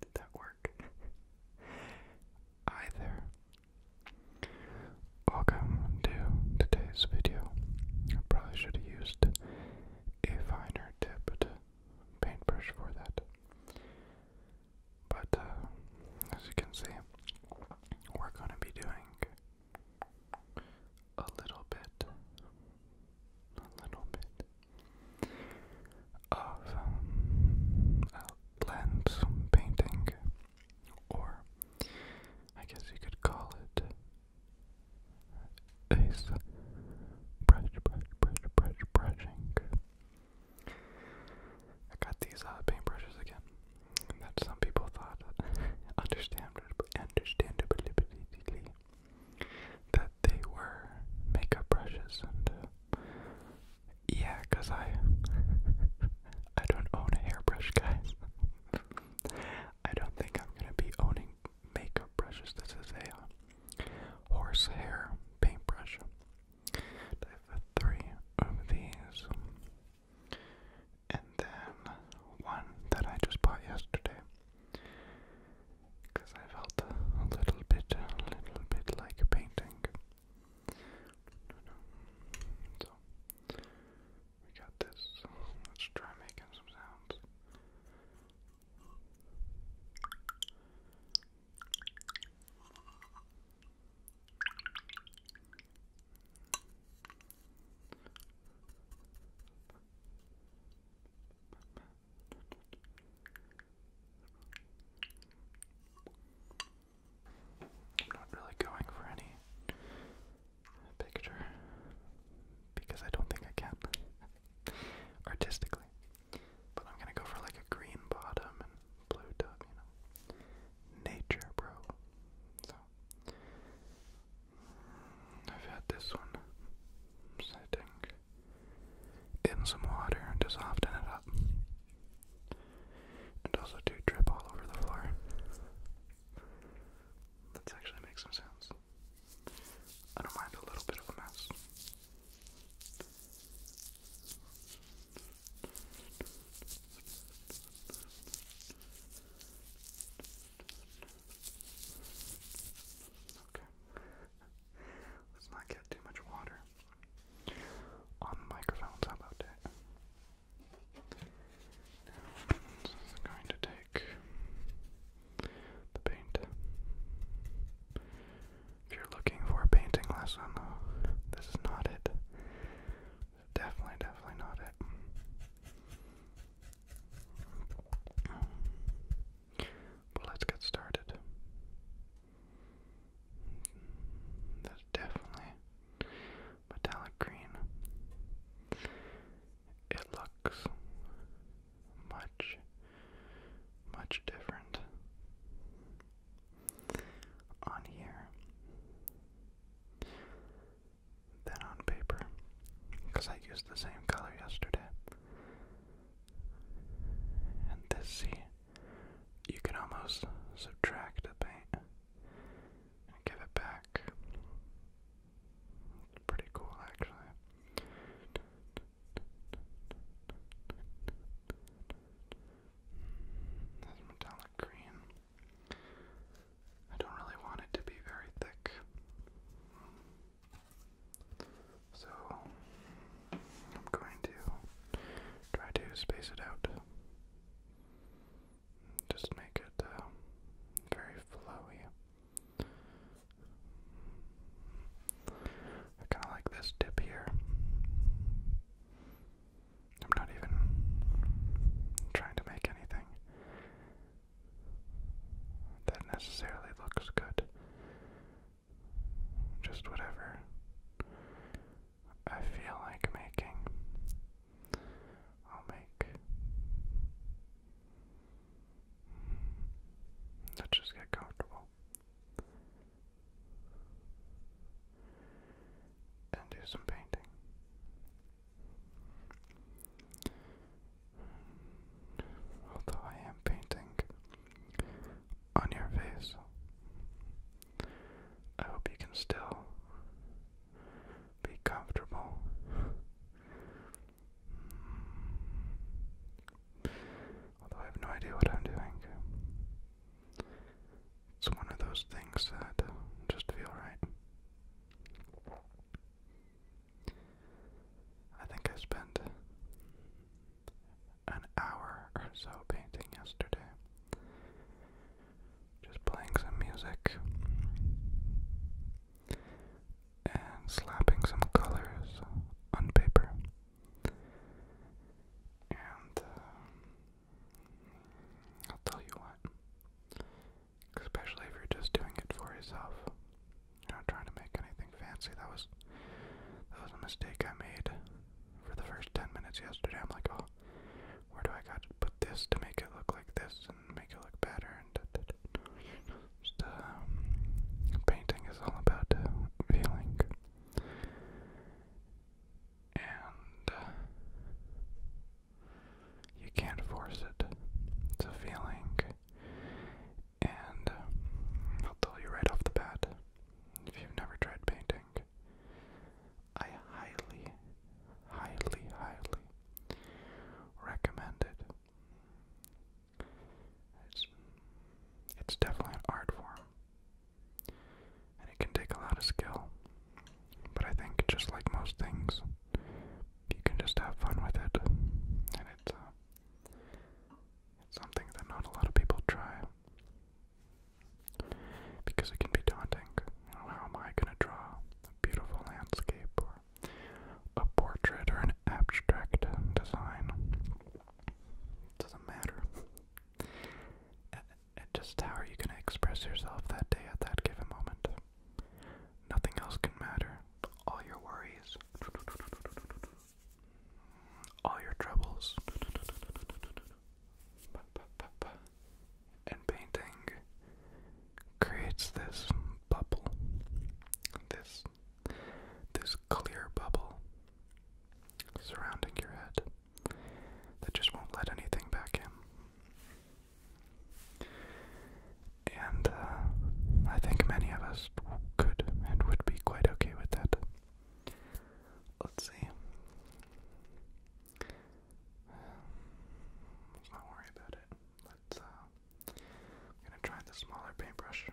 Did that work? Hi Welcome to today's video. I probably should have used a finer tipped paintbrush for that. But uh, as you can see, we're going to be doing a little bit, a little bit of um, painting, or I guess you could call it is brush, brush, brush, brush, brushing. I got these uh, paintbrushes again that some people thought understandably that they were makeup brushes and uh, yeah, cause I I don't own a hairbrush, guys. I don't think I'm gonna be owning makeup brushes. This is are uh, horse hair paintbrush. Dive three of these. And then one that I just bought yesterday. Because I felt a little bit, a little bit like painting. So, we got this. Let's try making some sounds. I'm not really going for any picture because I don't think I can artistically. But I'm gonna go for like a green bottom blowed up, you know. Nature, bro. So, I've had this one sitting in some water and to it up. And also do drip all over the floor. let actually make some sounds. I don't mind a little bit of a mess. Okay. Let's not get too much water on the microphones. How about that? this is going to take the paint. If you're looking for a painting lesson, this is not it. Definitely, definitely not it. But let's get started. That's definitely metallic green. It looks much, much different on here than on paper because I used the same color yesterday. And this, you can almost subtract the paint and give it back. pretty cool, actually metallic green. I don't really want it to be very thick. So I'm going to try to space it out. Just make it uh, very flowy. I kind of like this dip here. I'm not even trying to make anything that necessarily looks good. Just whatever I feel like making, I'll make. Let's just get comfortable and do some painting. Although I am painting on your face, I hope you can still be comfortable. Although I have no idea what I'm doing, it's one of those things that just feel right. I think I spent an hour or so painting yesterday. Just playing some music and slapping some colors on paper. And uh, I'll tell you what. Especially if you're just doing it for yourself. You're not trying to make anything fancy. That was that was a mistake I made for the first ten minutes yesterday. I'm like, oh, where do I got to put this to make it look like this and make it look better? And um, painting is all about feeling and uh, you can't force it. It's a feeling, and uh, I'll tell you right off the bat if you've never tried painting, I highly, highly, highly recommend it. It's, it's definitely an art form. And it can take a lot of skill. But I think, just like most things, you can just have fun with it. And it's, uh, something that not a lot of people try. Because it can be daunting. how am I going to draw a beautiful landscape or a portrait or an abstract design? doesn't matter and just how are you going to express yourself that day at that given moment? Nothing else can matter. All your worries, all your troubles, and painting creates this bubble, this this clear bubble surrounding your head that just won't let anything back in. And uh, I think many of us could and would be quite okay with that. Let's see. let's not worry about it. Let's. Uh, I'm gonna try the smaller paintbrush.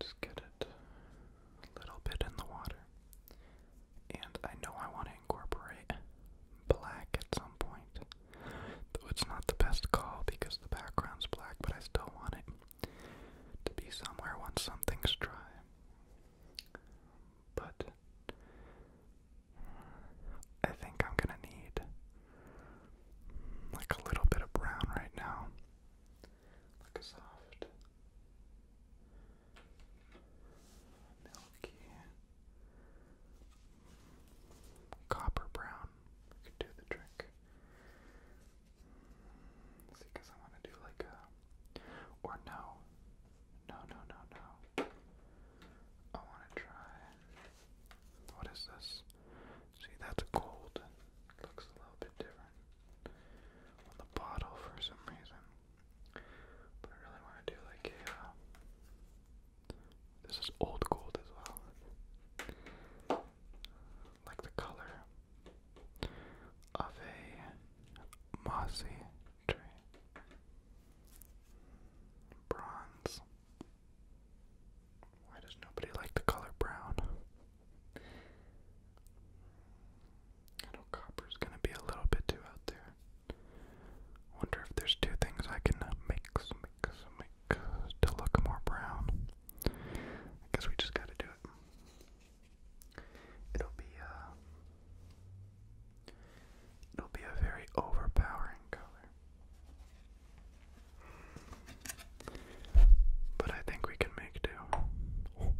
Just get it a little bit in the water. And I know I want to incorporate black at some point. Though it's not the best call because the background's black, but I still want it to be somewhere once something's dry. But I think I'm gonna need like a little bit of brown right now like a soft milky copper brown could do the trick. See, because I want to do like a or no, no, no, no, no. I want to try. What is this? See, that's gold and looks a little bit different on the bottle for some reason. But I really want to do like a. Uh, this is old gold as well. Like the color of a mossy tree. Bronze. Why does nobody like the color brown? I know copper's gonna be a little bit too out there. Wonder if there's two things I can mix, mix, mix to look more brown. I guess we just gotta do it. It'll be uh It'll be a very overpowering color. But I think we can make do. Oh.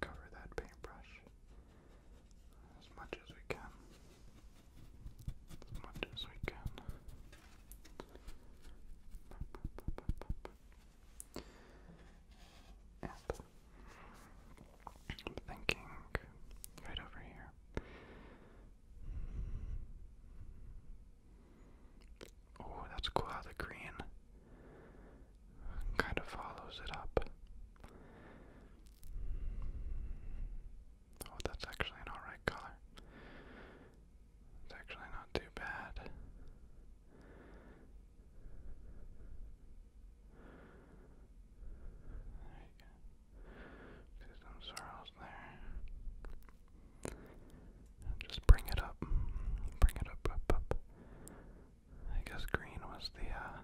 cover that paintbrush as much as we can. As much as we can. And I'm thinking right over here. Oh, that's cool how the green kind of follows it up. Oh, that's actually an alright color. It's actually not too bad. There you go. See some swirls there. just bring it up. Bring it up, up, up. I guess green was the, uh,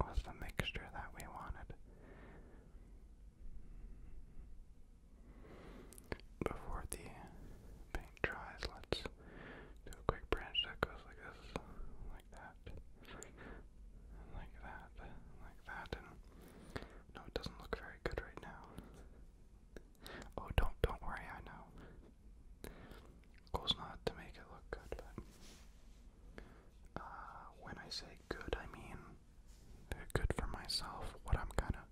was the mixture that we wanted. Before the paint dries, let's do a quick branch that goes like this, like that, like that, like that, no, it doesn't look very good right now. Oh, don't, don't worry, I know. Goal's not to make it look good, but uh, when I say good, I mean they're good for myself. What I'm kind of,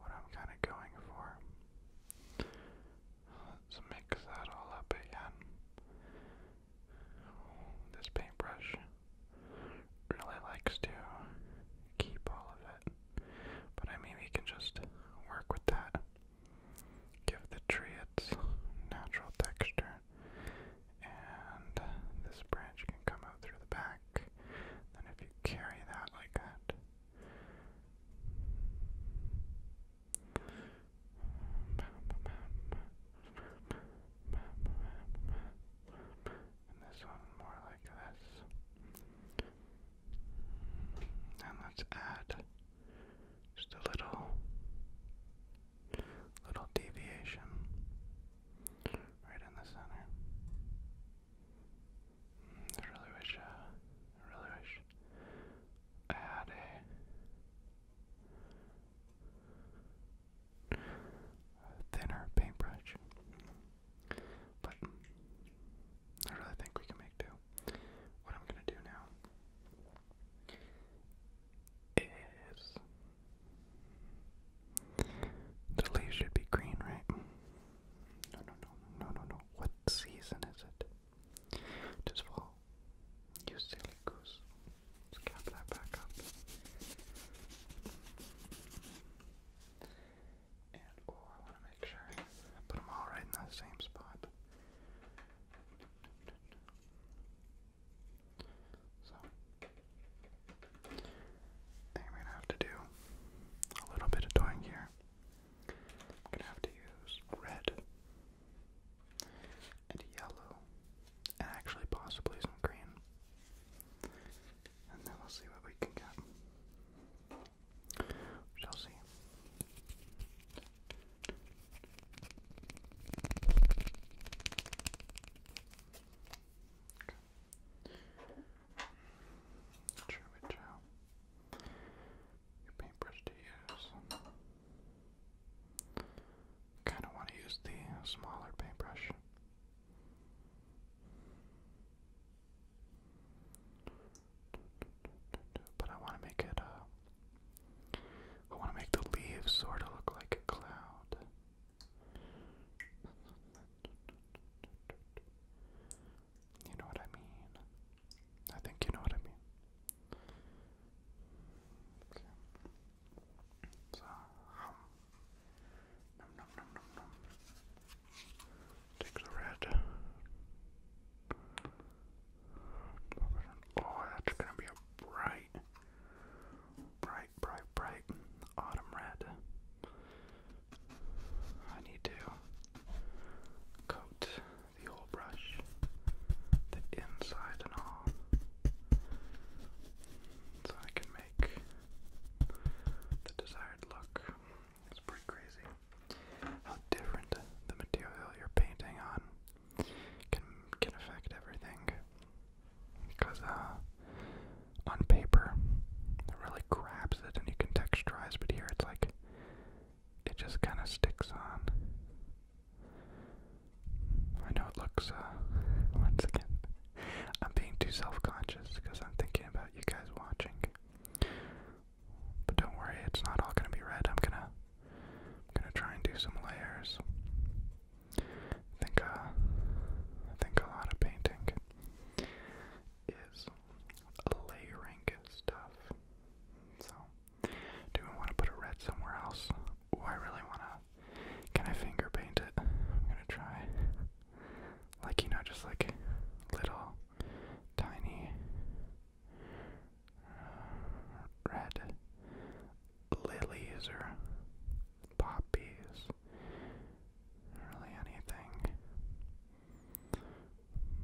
what I'm kind of going for. Let's mix that all up again. This paintbrush really likes to keep all of it, but I mean we can just work with that. Give the tree its natural texture. And this branch can come out through the back. Then if you carry that like that. And this one more like this. And let's add just a little little deviation right in the center. Mm, I really wish, uh, I really wish I had a thinner paintbrush, but I really think we can make do. What I'm gonna do now is the leaves should be green, right? No, no, no, no, no, no. What season is it? It is fall. You silly goose. let that back up. And, oh, I want to make sure I put them all right in the same spot. So I am gonna have to do a little bit of doing here. I'm gonna have to use red and yellow actually possibly some green. And then we'll see what we can get. We shall see. Sure which your paintbrush to use. Kind of want to use the smaller paintbrush. But I want to make it uh, I want to make the leaves sort of look like a cloud. You know what I mean? I think you know what I mean. So, um, Take the red. Oh, that's gonna be bright, bright, bright, bright autumn red. I need to coat the old brush, the inside and all, so I can make the desired look. It's pretty crazy how different the material you're painting on can can affect everything because uh, on paper it really grabs it and you can texturize, but here it's like it just kind of sticks on. I know it looks, uh, once again, I'm being too self-conscious because I'm thinking about you guys watching. But don't worry, it's not all gonna be red. I'm gonna, I'm gonna try and do some layers. I think uh, I think a lot of painting is layering stuff. So, do we want to put a red somewhere else? Oh, I really wanna. Can I finger paint it? I'm gonna try. Like you know, just like little tiny uh, red lilies or poppies, really anything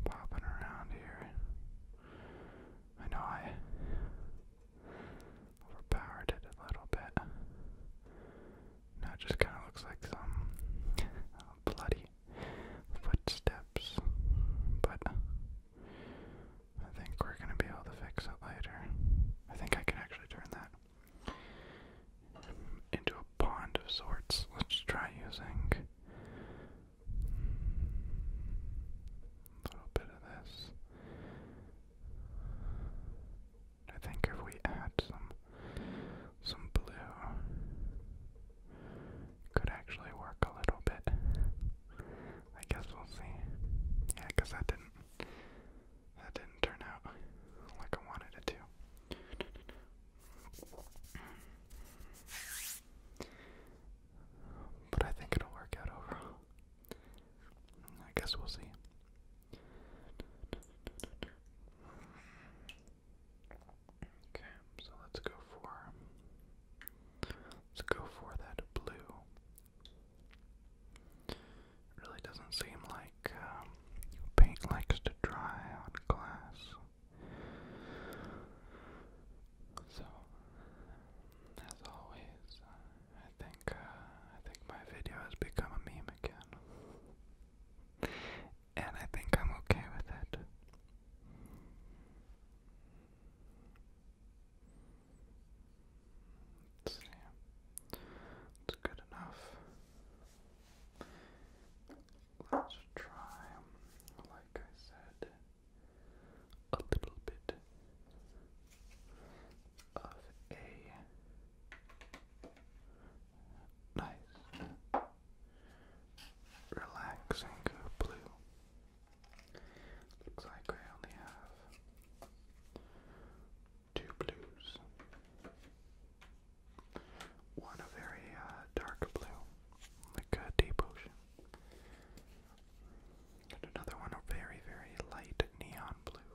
popping around here. I know I overpowered it a little bit. Now it just kind of looks like some uh, bloody footsteps, but I think we're going to be able to fix it later. I think I can actually turn that into a pond of sorts. Let's try using a little bit of this. I think if we add some some blue could actually work a little bit. I guess we'll see. Yeah, that didn't that didn't turn out like I wanted it to. But I think it'll work out overall. I guess we'll see. Okay, so let's go for let's go for that blue. It really doesn't seem like um, paint likes to dry on glass. So, as always, uh, I think uh, I think my video has become a meme again, and I think I'm okay with it see. It's good enough. Let's try, like I said, a little bit of a nice, relaxing blue. Looks like I only have two blues, one a very uh, dark blue, like a deep ocean, and another one a very, very light neon blue.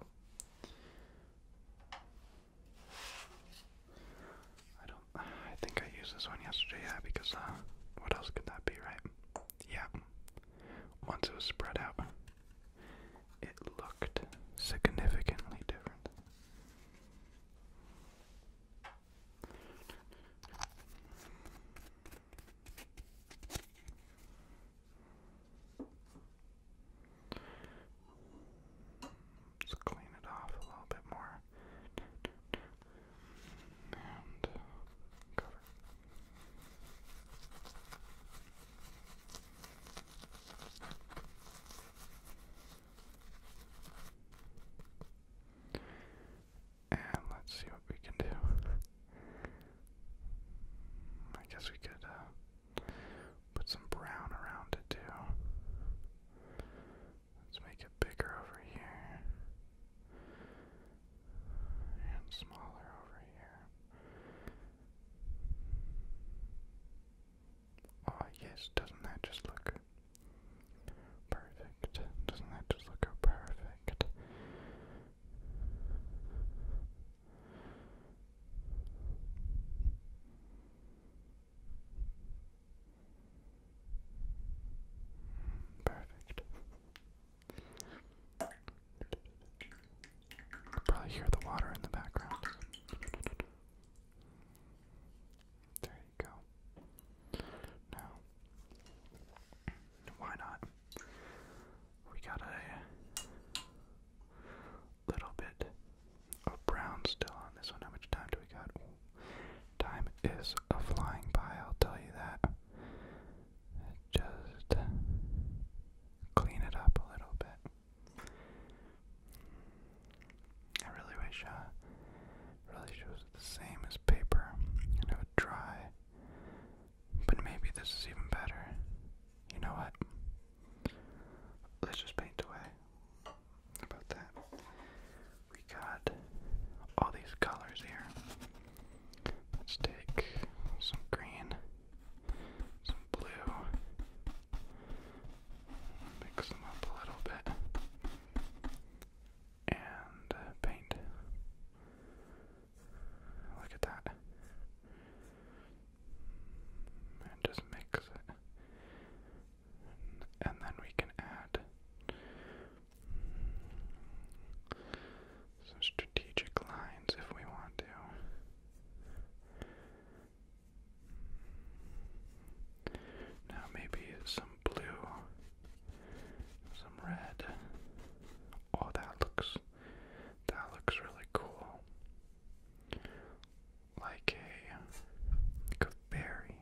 I don't. I think I used this one yesterday, yeah, because uh, what else could that be, right? Yeah. Once it was spread out, it looked significantly different. let clean it off a little bit more and cover. And let's see what we can do. I guess we could uh, put some brown around it too. Let's make it bigger over here and smaller over here. Oh, yes, doesn't that just look perfect? Doesn't that just look perfect? Perfect. Probably hear the water in the background. There you go. Now, why not? We got a little bit of brown still on this one. How much time do we got? Time is a flying by, I'll tell you that. Just clean it up a little bit. I really wish, uh, really it was the same as paper and it would dry. But maybe this is even better. You know what? Let's just paint away. about that? We got all these colors here. Let's take some green, some blue, mix them up a little bit, and uh, paint. Look at that. And just mix it. And then we can add some strategic lines if we want to. Now maybe some blue, some red. Oh, that looks that looks really cool. Like a, like a very,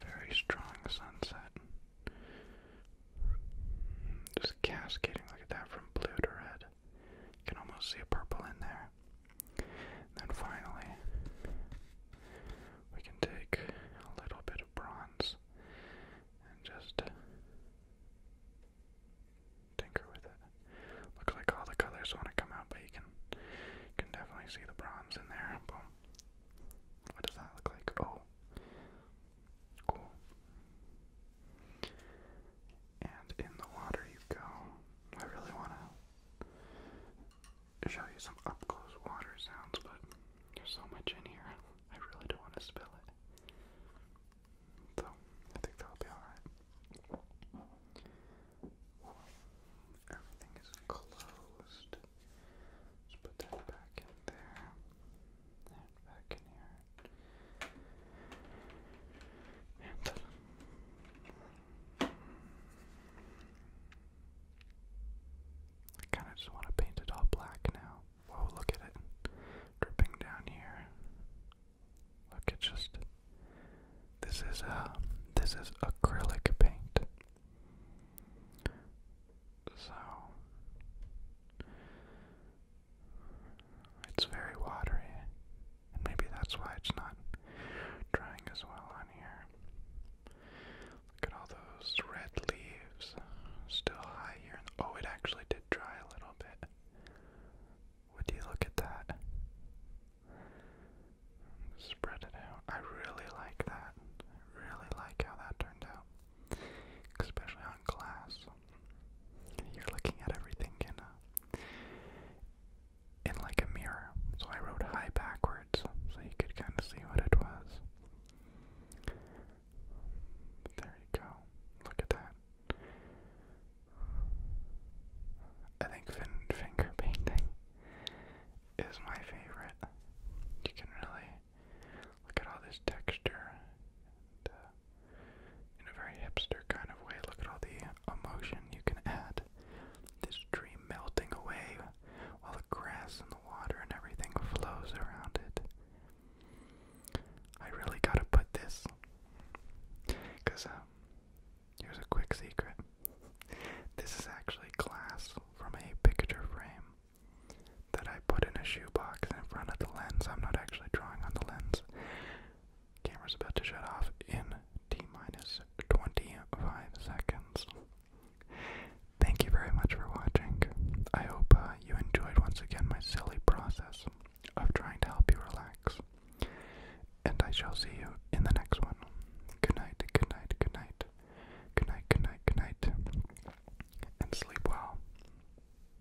very strong sunset. Just cascading, look at that, from blue to red. You can almost see a purple in there. then finally, we can take a little bit of bronze and just tinker with it. Looks like all the colors want to come out, but you can, can definitely see the bronze in there. Boom. What does that look like? Oh, Cool. And in the water you go. I really want to show you some up close water sounds, but there's so much in here, I really don't want to spill it. So, I think that'll be alright. Everything is closed. Let's put that back in there. That back in here. I kind of just want to paint it all black now. Whoa, look at it dripping down here. Look, it's just this is a uh, this is acrylic paint. So it's very watery. And maybe that's why it's not drying as well on here. Look at all those red leaves. Still high here. Oh, it actually did dry a little bit. Would you look at that? Spread it out. I really like that. really like how that turned out. Especially on glass. You're looking at everything in a, in like a mirror. So I wrote high backwards so you could kind of see what it was. There you go. Look at that. I think finger painting is my favorite. You can really look at all this texture in a very hipster kind of way. Look at all the emotion you can add. This tree melting away while the grass and the water and everything flows around it. I really gotta put this. Because, um, here's a quick secret. This is actually glass from a picture frame that I put in a shoebox in front of the lens. I'm not actually drawing on the lens. Camera's about to shut off in T minus 25 seconds. Thank you very much for watching. I hope uh, you enjoyed once again my silly process of trying to help you relax. And I shall see you in the next one. Good night, good night, good night. Good night, good night, good night. And sleep well.